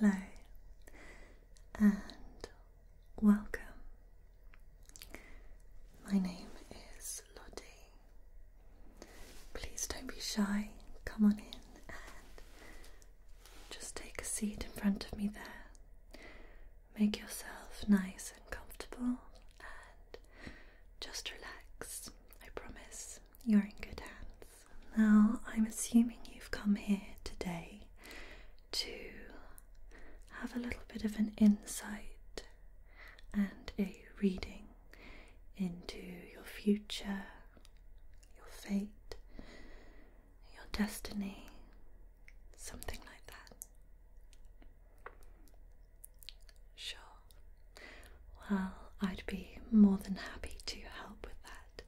Hello and welcome. My name is Lottie, Please don't be shy. Come on in and just take a seat in front of me there. Make yourself nice and comfortable and just relax. I promise you're in good hands. Now, I'm assuming you've come here today to have a little bit of an insight and a reading into your future, your fate, your destiny, something like that. Sure. Well, I'd be more than happy to help with that,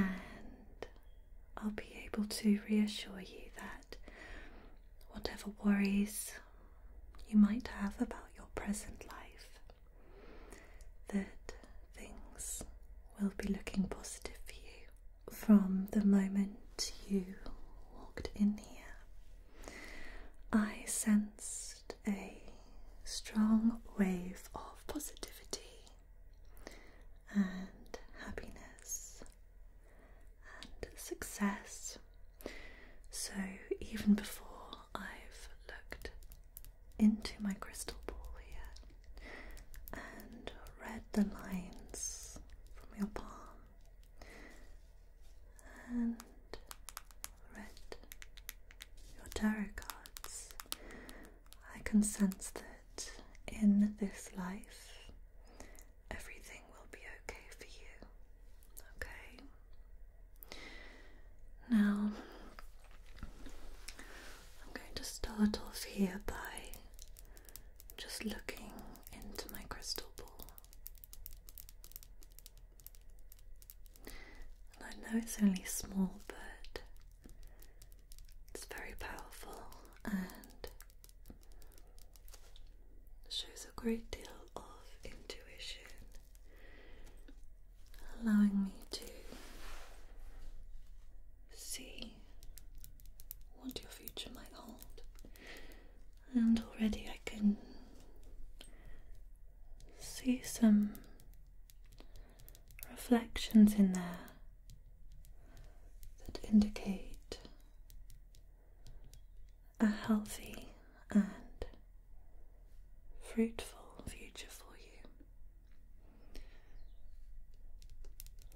and I'll be able to reassure you that whatever worries you might have about your present life that things will be looking positive for you from the moment you walked in here. I sensed a strong wave of positivity and happiness and success. So, even before I've looked into my crystal ball here and read the lines from your palm and read your tarot cards. I can sense that in this life everything will be okay for you. Okay? Now, I'm going to start off here by just looking into my crystal ball. And I know it's only small, but it's very powerful and shows a great deal of intuition allowing me to see what your future might hold. And already I can see some reflections in there that indicate a healthy and fruitful future for you.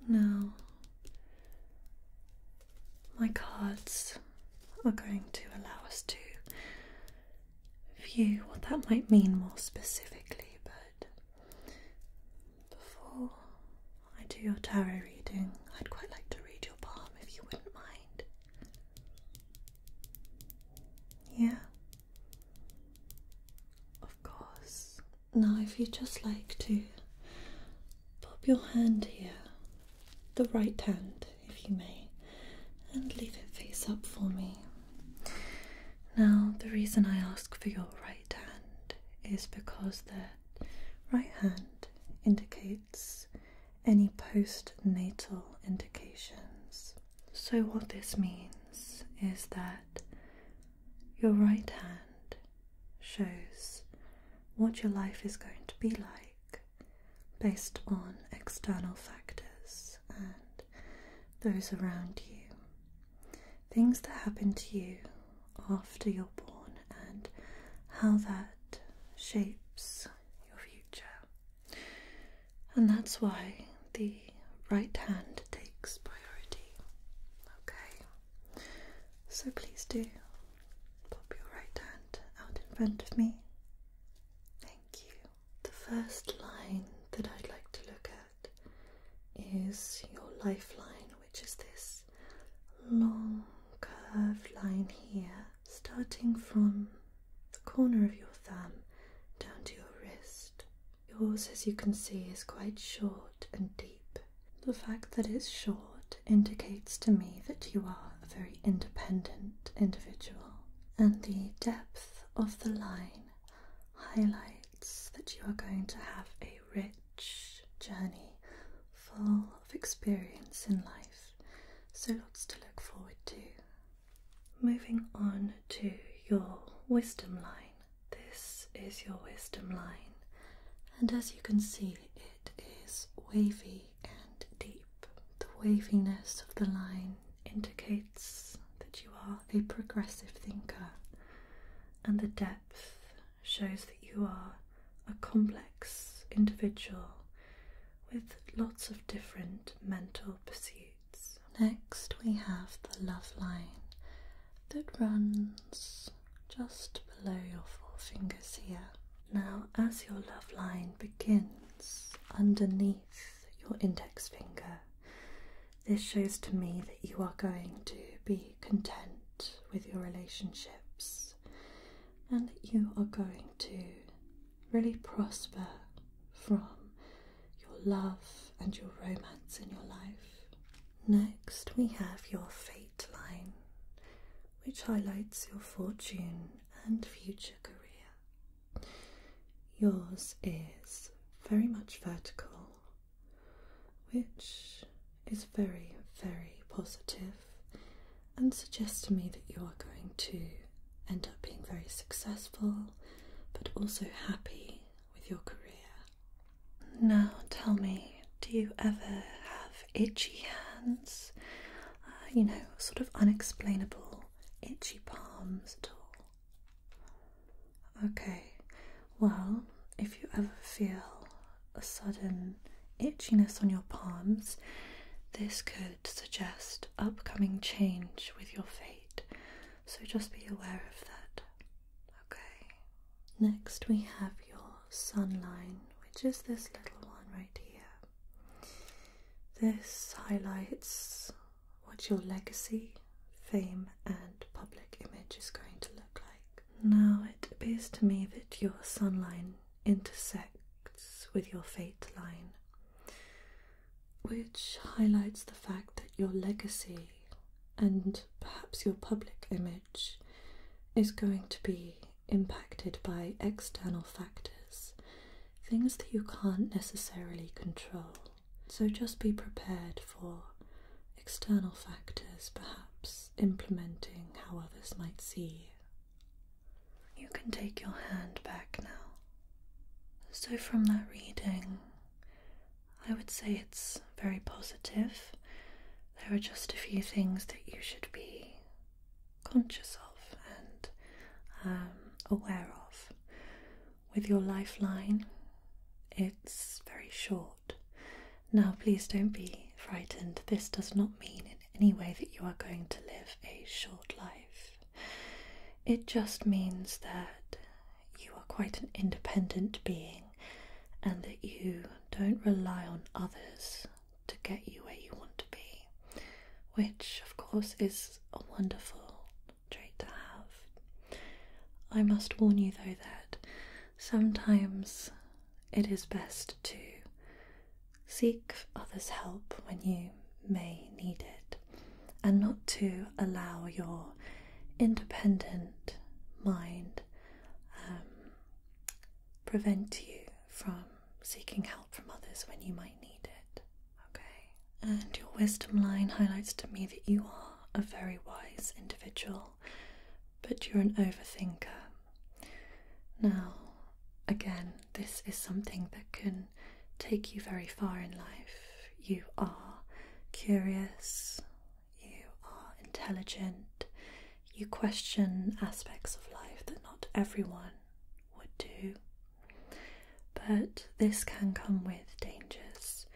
No. my cards are going to allow us to view what that might mean more specifically, but before I do your tarot reading, I'd quite like to read your palm if you wouldn't mind. Yeah. Of course. Now, if you would just like to pop your hand here, the right hand, if you may, and leave it face up for me. Now, the reason I ask for your right hand is because the right hand indicates any postnatal indications. So, what this means is that your right hand shows what your life is going to be like based on external factors and those around you. Things that happen to you after you're born and how that shapes your future. And that's why the right hand takes priority. Okay? So please do pop your right hand out in front of me. Thank you. The first line that I'd like to look at is your lifeline, which is this long curved line here, starting from the corner of your thumb down to your wrist. Yours, as you can see, is quite short and deep. The fact that it's short indicates to me that you are a very independent individual, and the depth of the line highlights that you are going to have a rich journey full of experience in life. So, lots to look forward to. Moving on to your wisdom line. This is your wisdom line, and as you can see, it is wavy and deep. The waviness of the line indicates that you are a progressive thinker, and the depth shows that you are a complex individual with lots of different mental pursuits. Next, we have the love line that runs just below your forefingers here. Now, as your love line begins underneath your index finger, this shows to me that you are going to be content with your relationships and that you are going to really prosper from your love and your romance in your life. Next, we have your fate line, which highlights your fortune and future career. Yours is very much vertical, which is very, very positive and suggests to me that you are going to end up being very successful but also happy with your career. Now tell me, do you ever have itchy hands? Uh, you know, sort of unexplainable itchy palms at all? Okay, well, if you ever feel a sudden itchiness on your palms, this could suggest upcoming change with your fate. So just be aware of that. Okay. Next, we have your sun line, which is this little one right here. This highlights what your legacy, fame, and public image is going to look like. Now, it appears to me that your sun line intersects with your fate line which highlights the fact that your legacy and perhaps your public image is going to be impacted by external factors, things that you can't necessarily control. So just be prepared for external factors perhaps implementing how others might see you. You can take your hand back now. So, from that reading, I would say it's very positive. There are just a few things that you should be conscious of and um, aware of. With your lifeline, it's very short. Now, please don't be frightened. This does not mean in any way that you are going to live a short life. It just means that you are quite an independent being and that you don't rely on others to get you where you want to be, which, of course, is a wonderful trait to have. I must warn you, though, that sometimes it is best to seek others' help when you may need it and not to allow your independent mind um, prevent you from seeking help from others when you might need it. Okay. And your wisdom line highlights to me that you are a very wise individual, but you're an overthinker. Now, again, this is something that can take you very far in life you are curious, you are intelligent, you question aspects of life that not everyone would do. But this can come with dangers.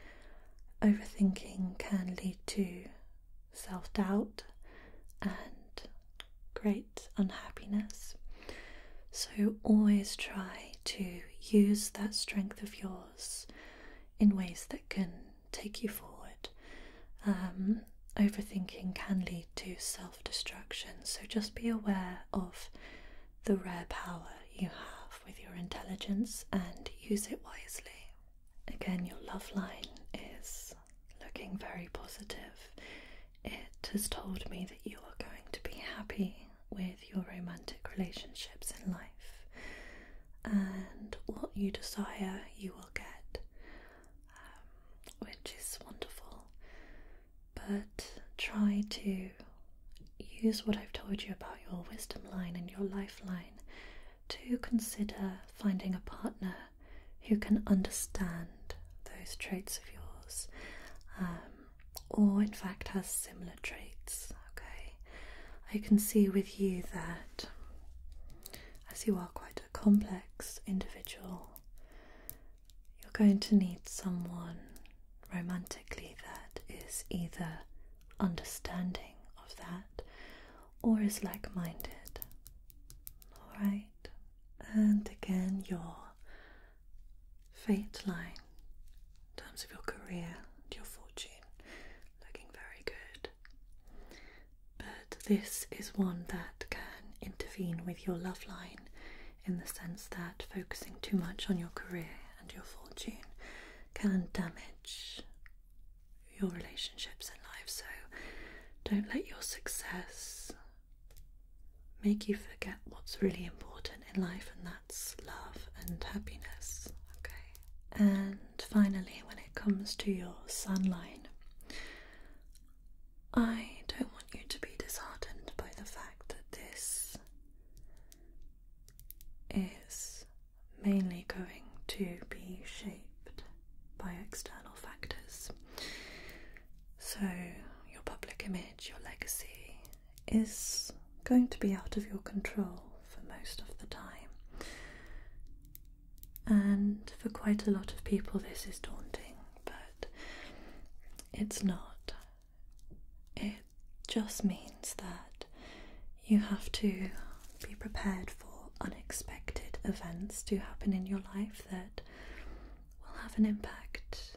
Overthinking can lead to self doubt and great unhappiness. So always try to use that strength of yours in ways that can take you forward. Um, overthinking can lead to self destruction, so just be aware of the rare power you have with your intelligence and use it wisely. Again, your love line is looking very positive. It has told me that you are going to be happy with your romantic relationships in life, and what you desire, you will get, um, which is wonderful. But try to use what I've told you about your wisdom line and your lifeline to consider finding a partner who can understand those traits of yours. Um, or in fact has similar traits. Okay, I can see with you that as you are quite a complex individual, you're going to need someone romantically that is either understanding of that or is like minded. Alright, and again, your fate line terms of your career and your fortune, looking very good. But this is one that can intervene with your love line in the sense that focusing too much on your career and your fortune can damage your relationships in life. So don't let your success make you forget what's really important in life, and that love and happiness. Okay, and finally, when it comes to your sun line, I don't want you to be disheartened by the fact that this is mainly going to be shaped by external factors. So, your public image, your legacy, is going to be out of your control for most of the time. And for quite a lot of people, this is daunting, but it's not. It just means that you have to be prepared for unexpected events to happen in your life that will have an impact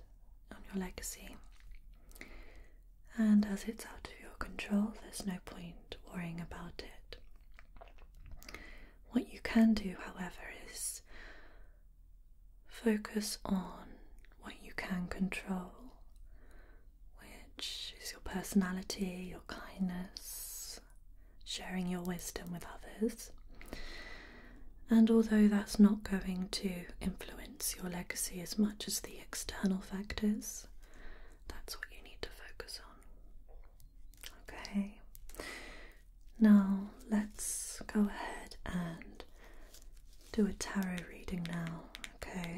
on your legacy. And as it's out of your control, there's no point worrying about it. What you can do, however, is focus on what you can control, which is your personality, your kindness, sharing your wisdom with others. And although that's not going to influence your legacy as much as the external factors, that's what you need to focus on. Okay. Now let's go ahead and do a tarot reading now. Okay.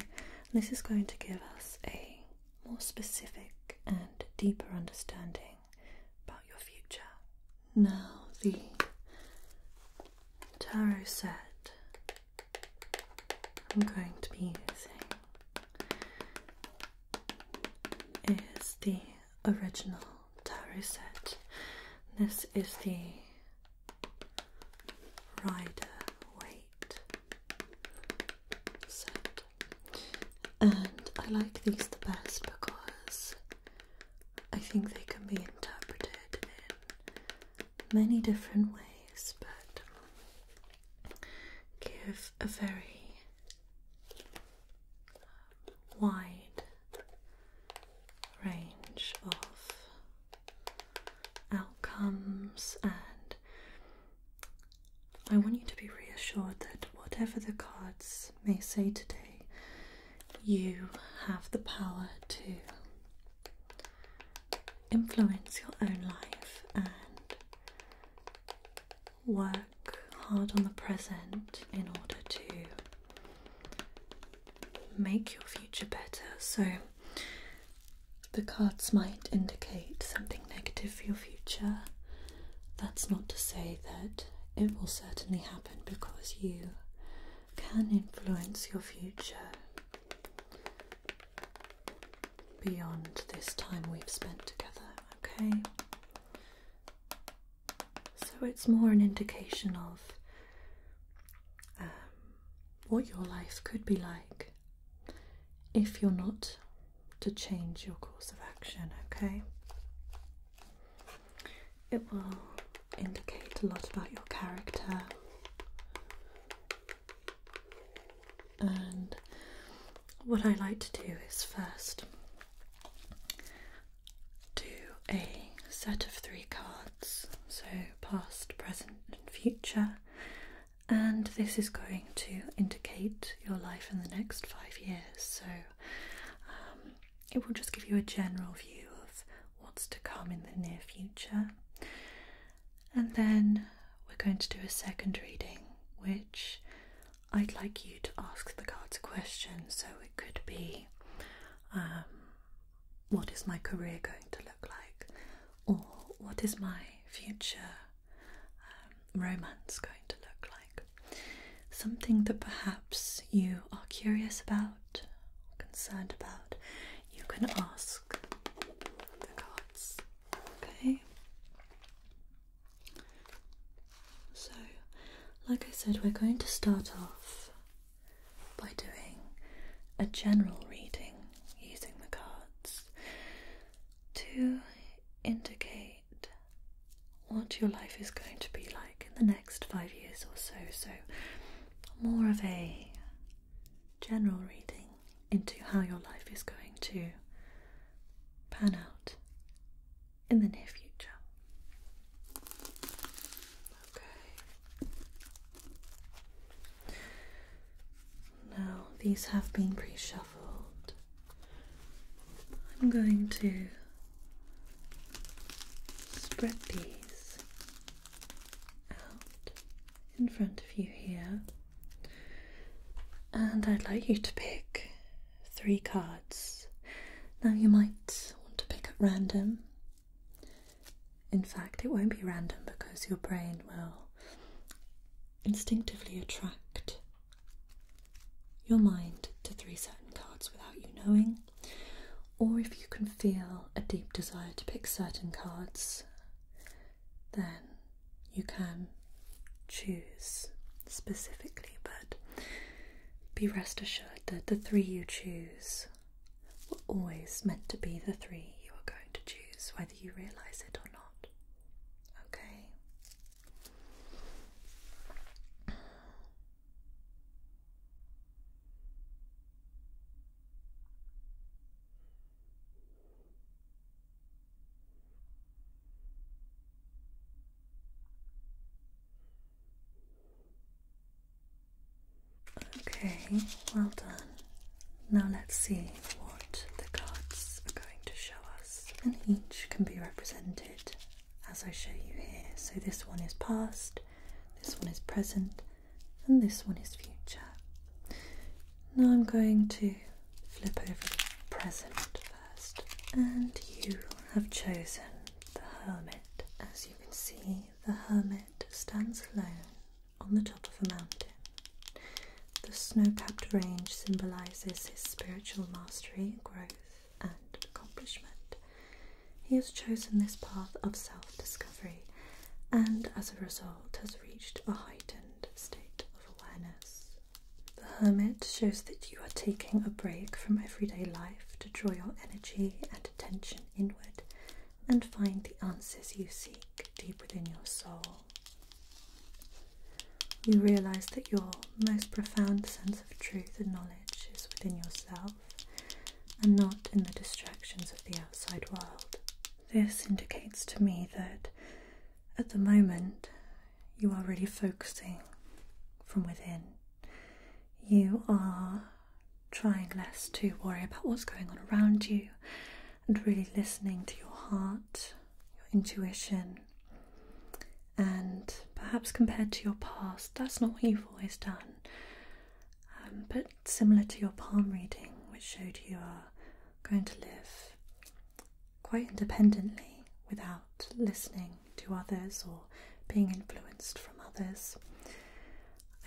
this is going to give us a more specific and deeper understanding about your future. Now, the tarot said I'm going to be using is the original tarot set. This is the Rider Weight set, and I like these the best because I think they can be interpreted many different ways, but give a very wide range of outcomes, and I want you to be reassured that whatever the cards may say today, you have the power to influence your own life and work hard on the present in order to make your future better. So the cards might indicate something negative for your future. That's not to say that it will certainly happen because you can influence your future beyond this time we've spent together, okay? So it's more an indication of um, what your life could be like if you're not to change your course of action, okay? It will indicate a lot about your character and what I like to do is first do a set of three cards, so past, present, and future, and this is going to indicate your life in the next five years. So um, it will just give you a general view of what's to come in the near future. And then we're going to do a second reading, which I'd like you to ask the cards a question. So it could be um, what is my career going to look like? Or what is my future um, romance going to look like? Something that perhaps you are curious about, concerned about, you can ask the cards. Okay. So, like I said, we're going to start off by doing a general reading using the cards to indicate what your life is going to be like in the next five years or so. So, more of a general reading into how your life is going to pan out in the near future. Okay. Now, these have been pre shuffled. I'm going to spread these out in front of you here. And I'd like you to pick three cards. Now, you might want to pick at random. In fact, it won't be random because your brain will instinctively attract your mind to three certain cards without you knowing. Or if you can feel a deep desire to pick certain cards, then you can choose specifically, but be rest assured that the three you choose were always meant to be the three you are going to choose, whether you realize it or not. Okay? Okay, well done. Now let's see what the cards are going to show us. And each can be represented as I show you here. So this one is past, this one is present, and this one is future. Now I'm going to flip over the present first, and you have chosen the hermit. As you can see, the hermit stands alone on the top of a mountain. The snow capped range symbolizes his spiritual mastery, growth, and accomplishment. He has chosen this path of self discovery and, as a result, has reached a heightened state the Hermit shows that you are taking a break from everyday life to draw your energy and attention inward and find the answers you seek deep within your soul. You realize that your most profound sense of truth and knowledge is within yourself and not in the distractions of the outside world. This indicates to me that at the moment, you are really focusing from within. You are trying less to worry about what's going on around you and really listening to your heart, your intuition. And perhaps compared to your past, that's not what you've always done. Um, but similar to your palm reading, which showed you are going to live quite independently without listening to others or being influenced from others.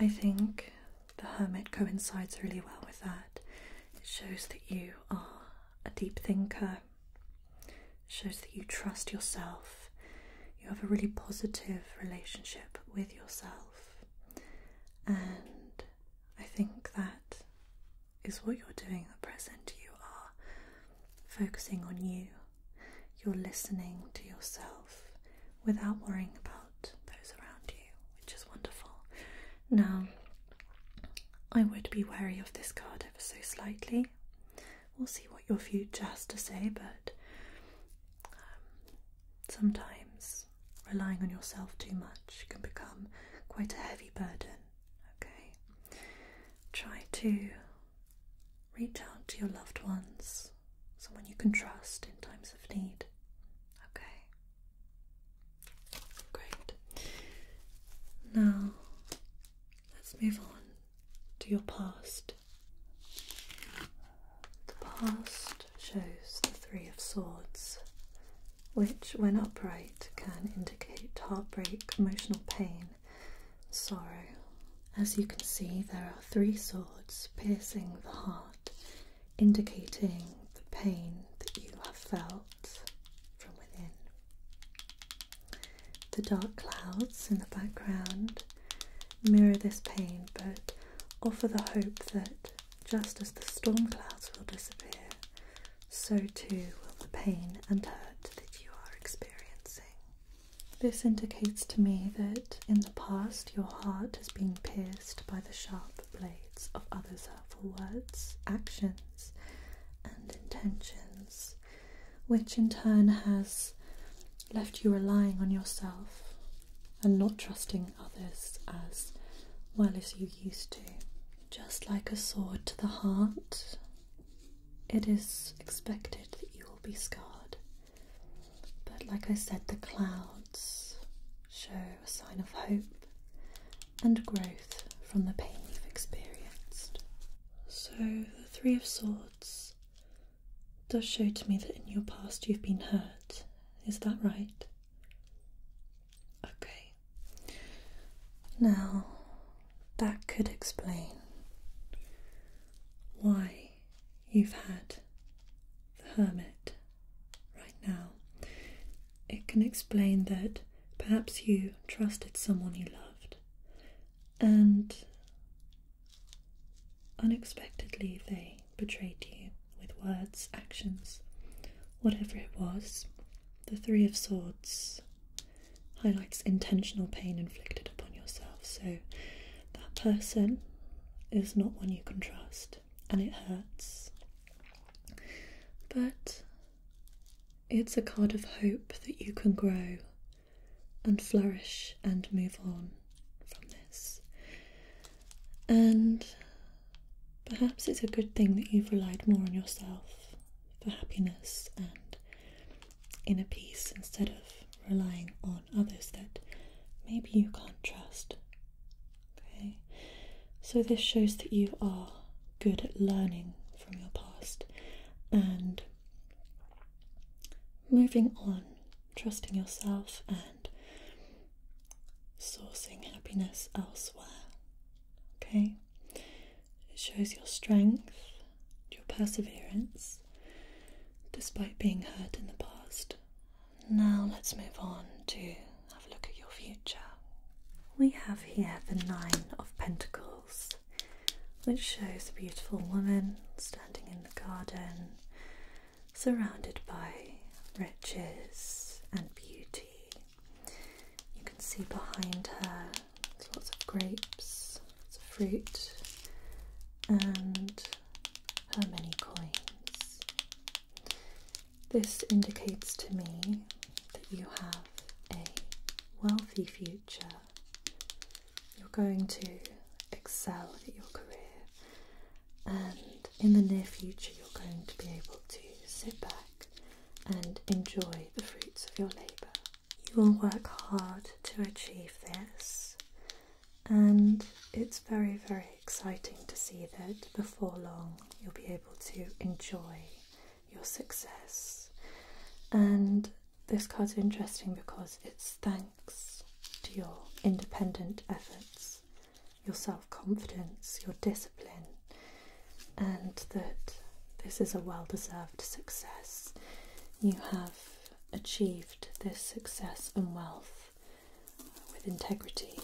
I think the hermit coincides really well with that. It shows that you are a deep thinker, it shows that you trust yourself, you have a really positive relationship with yourself, and I think that is what you're doing at present. You are focusing on you, you're listening to yourself without worrying about those around you, which is wonderful. Now, I would be wary of this card ever so slightly. We'll see what your future has to say, but um, sometimes Relying on yourself too much can become quite a heavy burden. Okay? Try to reach out to your loved ones, someone you can trust in times of need. Okay? Great. Now, let's move on to your past. The past shows the Three of Swords which, when upright, can indicate heartbreak, emotional pain, sorrow. As you can see, there are three swords piercing the heart, indicating the pain that you have felt from within. The dark clouds in the background mirror this pain but offer the hope that just as the storm clouds will disappear, so too will the pain and hurt that you are experiencing. This indicates to me that in the past your heart has been pierced by the sharp blades of others' hurtful words, actions, and intentions, which in turn has left you relying on yourself and not trusting others as well as you used to. Just like a sword to the heart, it is expected that you will be scarred. But like I said, the clouds show a sign of hope and growth from the pain you've experienced. So, the Three of Swords does show to me that in your past you've been hurt. Is that right? Okay. Now, that could explain why you've had the hermit right now. It can explain that perhaps you trusted someone you loved and unexpectedly they betrayed you with words, actions, whatever it was. The Three of Swords highlights intentional pain inflicted upon yourself. So that person is not one you can trust and it hurts. But it's a card of hope that you can grow and flourish and move on from this. And Perhaps it's a good thing that you've relied more on yourself for happiness and inner peace instead of relying on others that maybe you can't trust. Okay? So this shows that you are good at learning from your past and moving on, trusting yourself and sourcing happiness elsewhere. Okay, it shows your strength, your perseverance, despite being hurt in the past. Now let's move on to have a look at your future. We have here the Nine of Pentacles, which shows a beautiful woman standing in the garden, surrounded by riches and beauty. You can see behind her lots of grapes, lots of fruit, and her many coins. This indicates to me that you have a wealthy future. You're going to excel at your career, and in the near future, you're going to be able to sit back and enjoy the fruits of your labour. You will work hard to achieve this, and it's very, very exciting to see that before long you'll be able to enjoy your success. And this card's interesting because it's thanks to your independent efforts, your self confidence, your discipline and that this is a well deserved success. You have achieved this success and wealth with integrity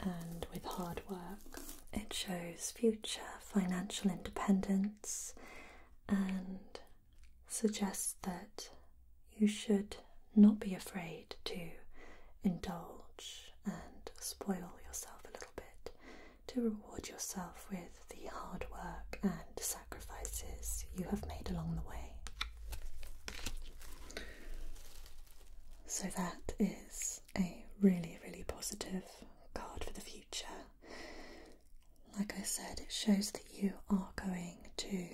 and with hard work. It shows future financial independence and suggests that you should not be afraid to indulge and spoil yourself a little bit to reward yourself with the hard work and sacrifices you have made along the way. So, that is a really, really positive card for the future. Like I said, it shows that you are going to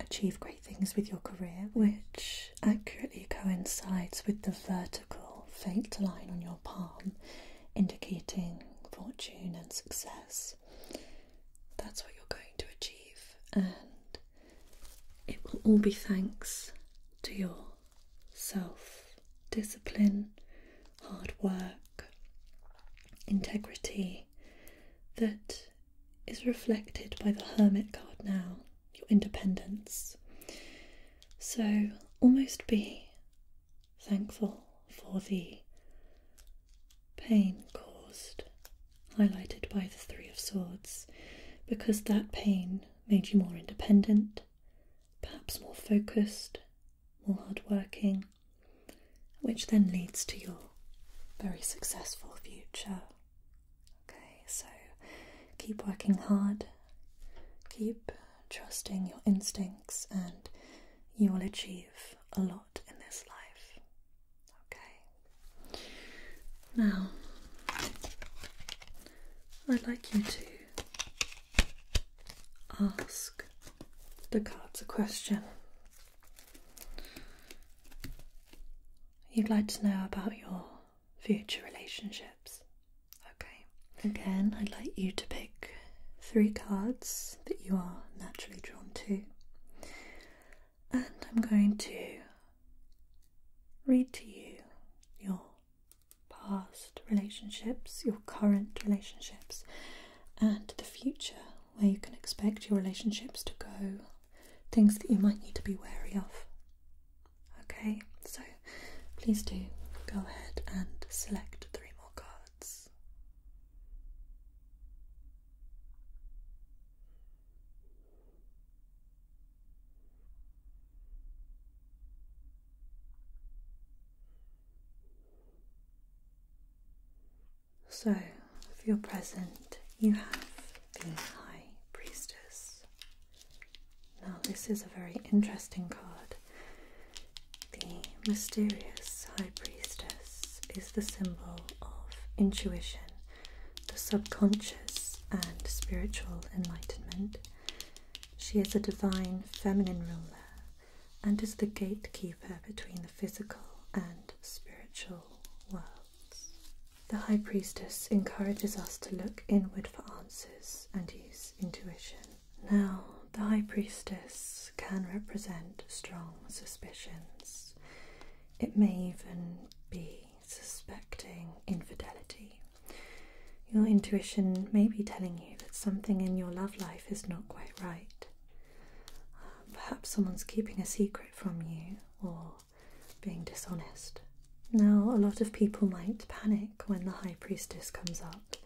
achieve great things with your career, which accurately coincides with the vertical faint line on your palm, indicating fortune and success. That's what you're going to achieve, and it will all be thanks to your self discipline, hard work, integrity that is reflected by the Hermit card now your independence. So, almost be thankful for the pain caused, highlighted by the Three of Swords, because that pain made you more independent, perhaps more focused, more hardworking, which then leads to your very successful future. Okay, so keep working hard, keep trusting your instincts, and you will achieve a lot in this life. Okay? Now, I'd like you to ask the cards a question. You'd like to know about your future relationships. Okay. Again, I'd like you to pick three cards that you are naturally drawn to, and I'm going to read to you your past relationships, your current relationships, and the future where you can expect your relationships to go, things that you might need to be wary of. Okay, so please do go ahead and select three more cards. So, for your present, you have the High Priestess, now, this is a very interesting card. The mysterious High Priestess is the symbol of intuition, the subconscious, and spiritual enlightenment. She is a divine feminine ruler and is the gatekeeper between the physical and spiritual worlds. The High Priestess encourages us to look inward for answers and use intuition. Now, the High Priestess can represent strong suspicions. It may even be suspecting infidelity. Your intuition may be telling you that something in your love life is not quite right. perhaps someone's keeping a secret from you or being dishonest. Now, a lot of people might panic when the High Priestess comes up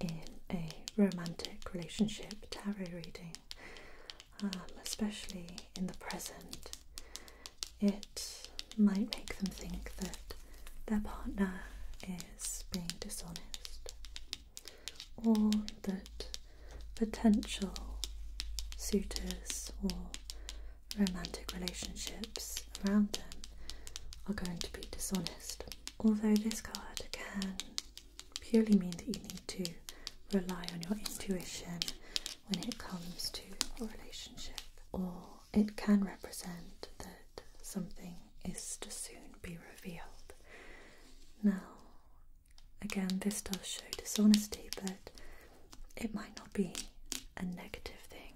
in a romantic relationship tarot reading, um, especially in the present. It might make them think that their partner is being dishonest or that potential suitors or romantic relationships around them are going to be dishonest although this card can purely mean that you need to rely on your intuition when it comes to a relationship, or it can represent that something is to soon be revealed. Now, again, this does show dishonesty, but it might not be a negative thing.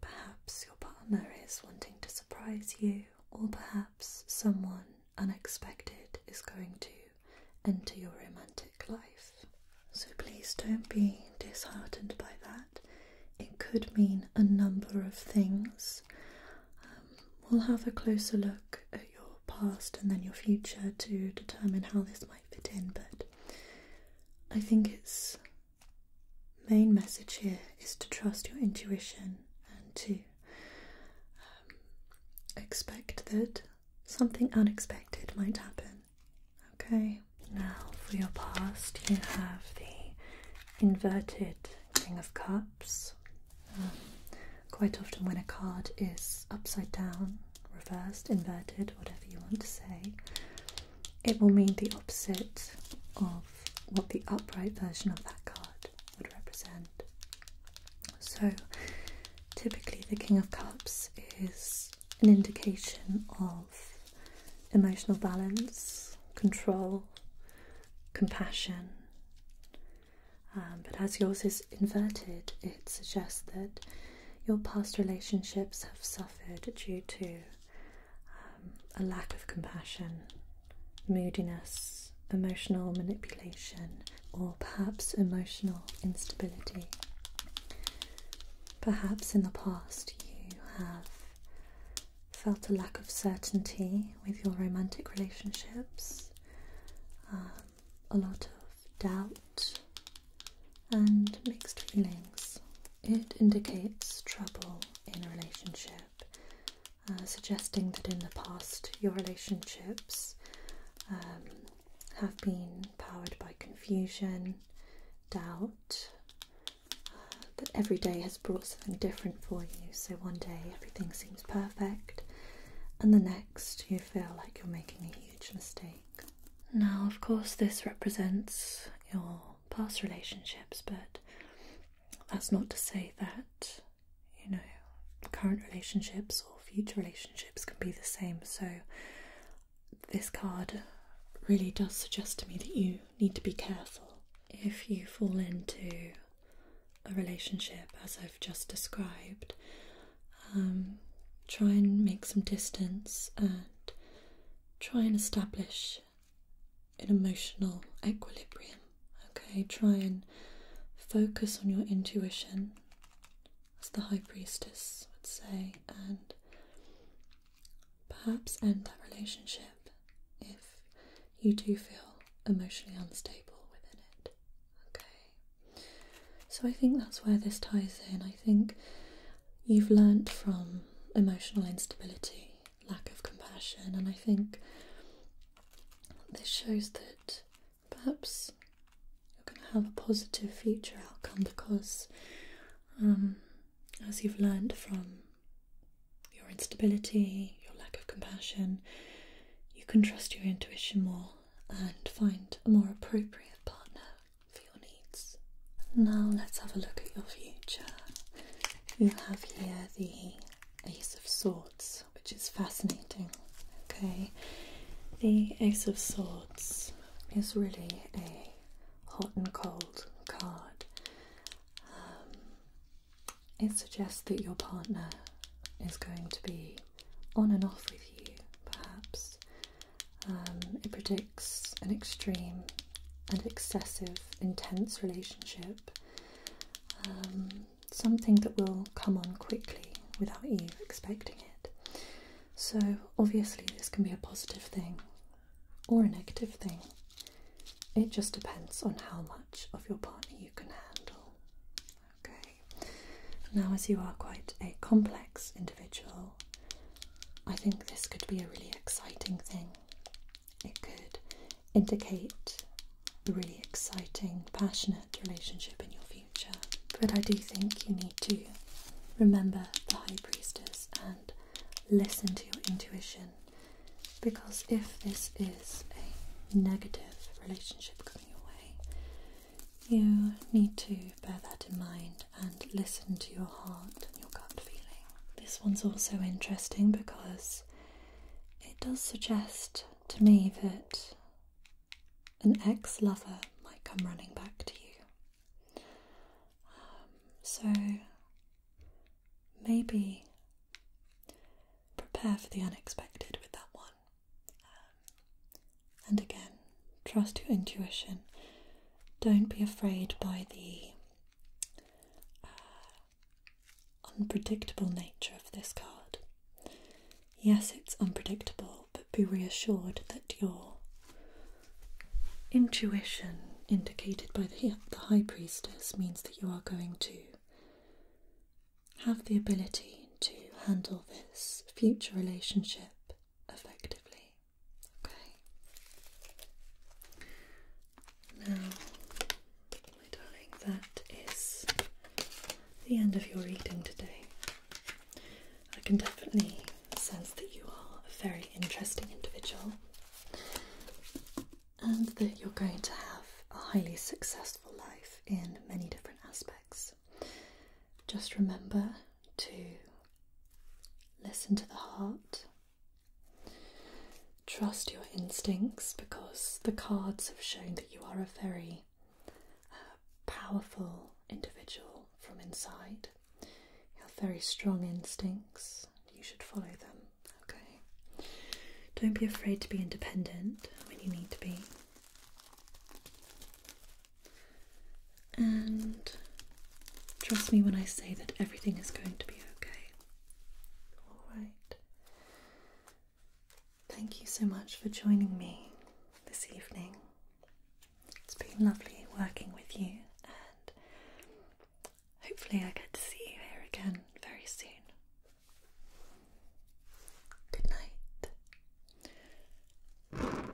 Perhaps your partner is wanting to surprise you, or perhaps someone unexpected is going to enter your romantic life. So please don't be disheartened by that. It could mean a number of things. Um, we'll have a closer look at your past and then your future to determine how this might fit in, but I think it's main message here is to trust your intuition and to um, expect that something unexpected might happen. Okay, now for your past, you have the inverted King of Cups. Um, quite often, when a card is upside down, reversed, inverted, whatever you want to say, it will mean the opposite of what the upright version of that card would represent. So, typically, the King of Cups is an indication of emotional balance, control, compassion. Um, but as yours is inverted, it suggests that your past relationships have suffered due to um, a lack of compassion, moodiness, emotional manipulation, or perhaps emotional instability. Perhaps in the past you have felt a lack of certainty with your romantic relationships, um, a lot of doubt, and mixed feelings. It indicates trouble in a relationship, uh, suggesting that in the past your relationships um, have been powered by confusion, doubt, uh, that every day has brought something different for you. So one day everything seems perfect, and the next you feel like you're making a huge mistake. Now, of course, this represents your past relationships, but that's not to say that, you know, current relationships or future relationships can be the same. So, this card really does suggest to me that you need to be careful if you fall into a relationship as I've just described. Um, try and make some distance and try and establish an emotional equilibrium. Okay, try and focus on your intuition, as the High Priestess would say, and perhaps end that relationship if you do feel emotionally unstable within it. Okay, so I think that's where this ties in. I think you've learnt from emotional instability lack of compassion, and I think this shows that perhaps you're going to have a positive future outcome because, um, as you've learned from your instability, your lack of compassion, you can trust your intuition more and find a more appropriate partner for your needs. Now, let's have a look at your future. You have here the Ace of Swords, which is fascinating. Okay, the Ace of Swords is really a hot and cold card. Um, it suggests that your partner is going to be on and off with you, perhaps. Um, it predicts an extreme and excessive, intense relationship um, something that will come on quickly without you expecting it. So, obviously, this can be a positive thing or a negative thing. It just depends on how much of your partner you can handle. Okay. Now, as you are quite a complex individual, I think this could be a really exciting thing it could indicate a really exciting, passionate relationship in your future. But I do think you need to remember the High Priestess and listen to your intuition because if this is a negative relationship coming your way, you need to bear that in mind and listen to your heart and your gut feeling. This one's also interesting because it does suggest to me that an ex lover might come running back to you. Um, so maybe prepare for the unexpected with that one. Um, and again, trust your intuition. Don't be afraid by the uh, unpredictable nature of this card. Yes, it's unpredictable, but be reassured that your intuition, indicated by the, High Priestess, means that you are going to have the ability to handle this future relationship effectively. Okay. Now, my darling, that is the end of your reading today. I can definitely sense that you are a very interesting individual and that you're going to have a highly successful life in many different aspects. Just remember to listen to the heart Trust your instincts because the cards have shown that you are a very uh, powerful individual from inside. You have very strong instincts. You should follow them, okay? Don't be afraid to be independent when you need to be. And trust me when I say that everything is going to be okay. All right. Thank you so much for joining me this evening. It's been lovely working with you, and hopefully, I get to see you here again very soon. Good night.